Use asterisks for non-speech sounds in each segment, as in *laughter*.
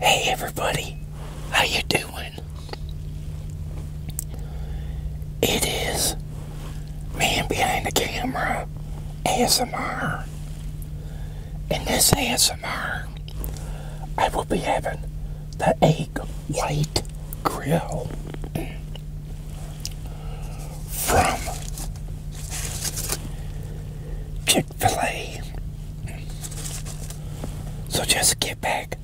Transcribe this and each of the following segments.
Hey everybody, how you doing? It is Man Behind the Camera ASMR. In this ASMR, I will be having the egg white grill from chick So just get back,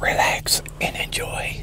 relax, and enjoy.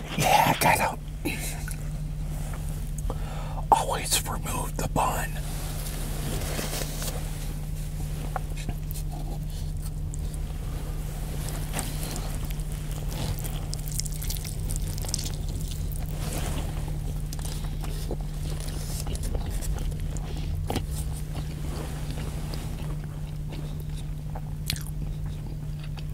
Yeah, I gotta always remove the bun.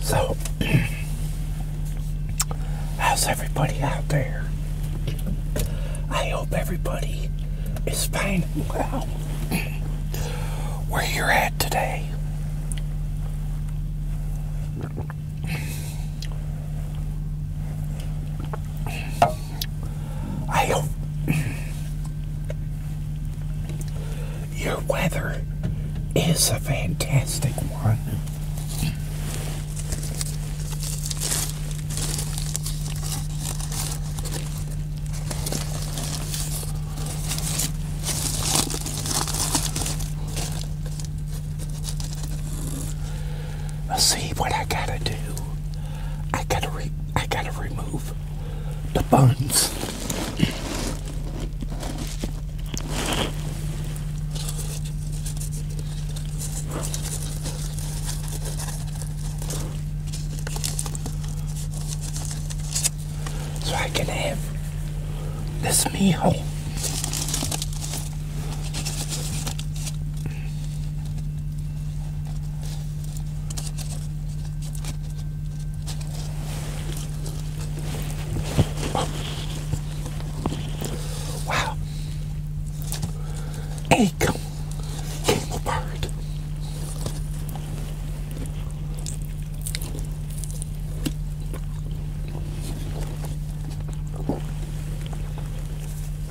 So, *clears throat* how's everybody out there? I hope everybody is fine and well *clears throat* where you're at today. I your weather is a fantastic one see what I gotta do. I gotta re I gotta remove the buns. so I can have this meal. Wow. Egg came apart.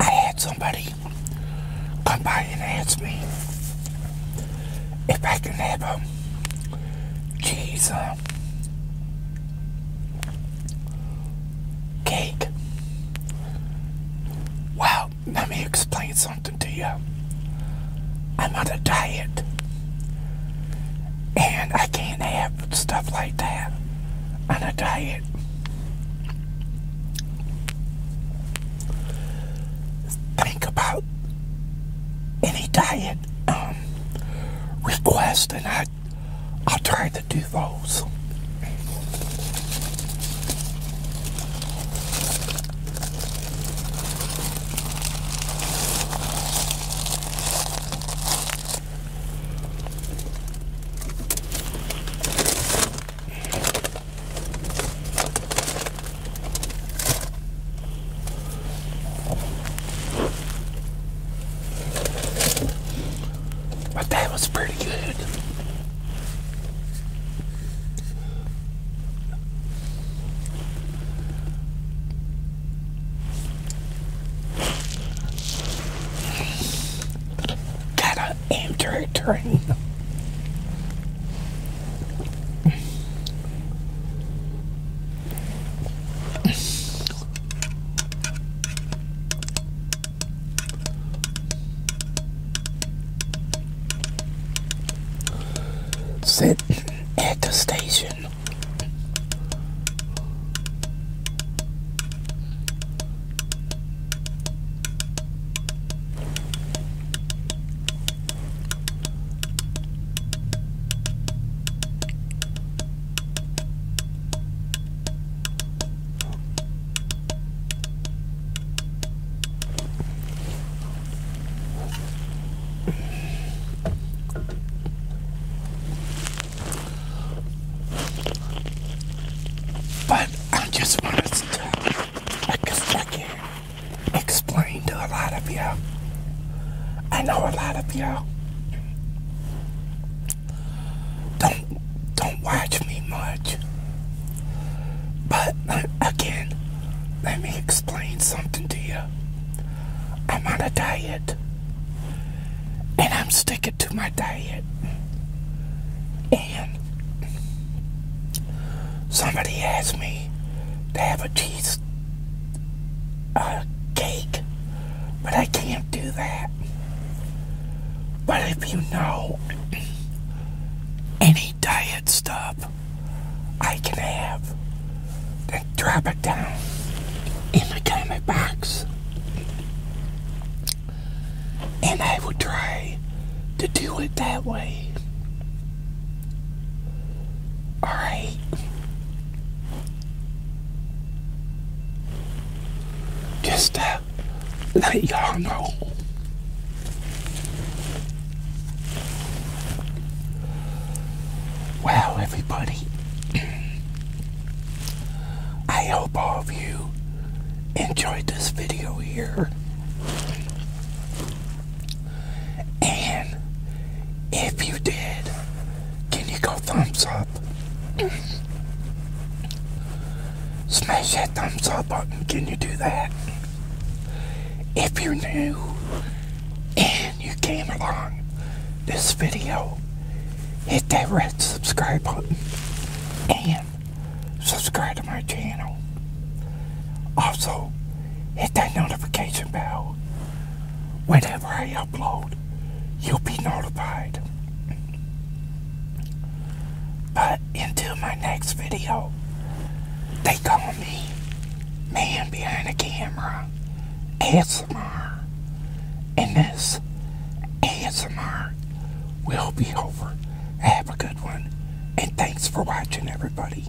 I had somebody come by and ask me if I can have a Jesus cake. Well, let me explain something to you. I'm on a diet. And I can't have stuff like that on a diet. Think about any diet um, request and I I, I'll try to do those. But that was pretty good. Gotta enter a train. Sit at the station. But I just wanted to, I guess I can explain to a lot of you. I know a lot of you don't don't watch me much. But uh, again, let me explain something to you. I'm on a diet, and I'm sticking to my diet. And somebody asked me to have a cheese uh, cake but I can't do that. But if you know any diet stuff I can have, then drop it down in the comment box. And I will try to do it that way. Alright. Just uh, let y'all know. Well, everybody, *clears throat* I hope all of you enjoyed this video here. And if you did, can you go thumbs up? Smash that thumbs up button. Can you do that? If you're new and you came along this video, hit that red subscribe button and subscribe to my channel. Also, hit that notification bell whenever I you'll be notified. But until my next video, they call me Man Behind the Camera ASMR. And this ASMR will be over. Have a good one. And thanks for watching, everybody.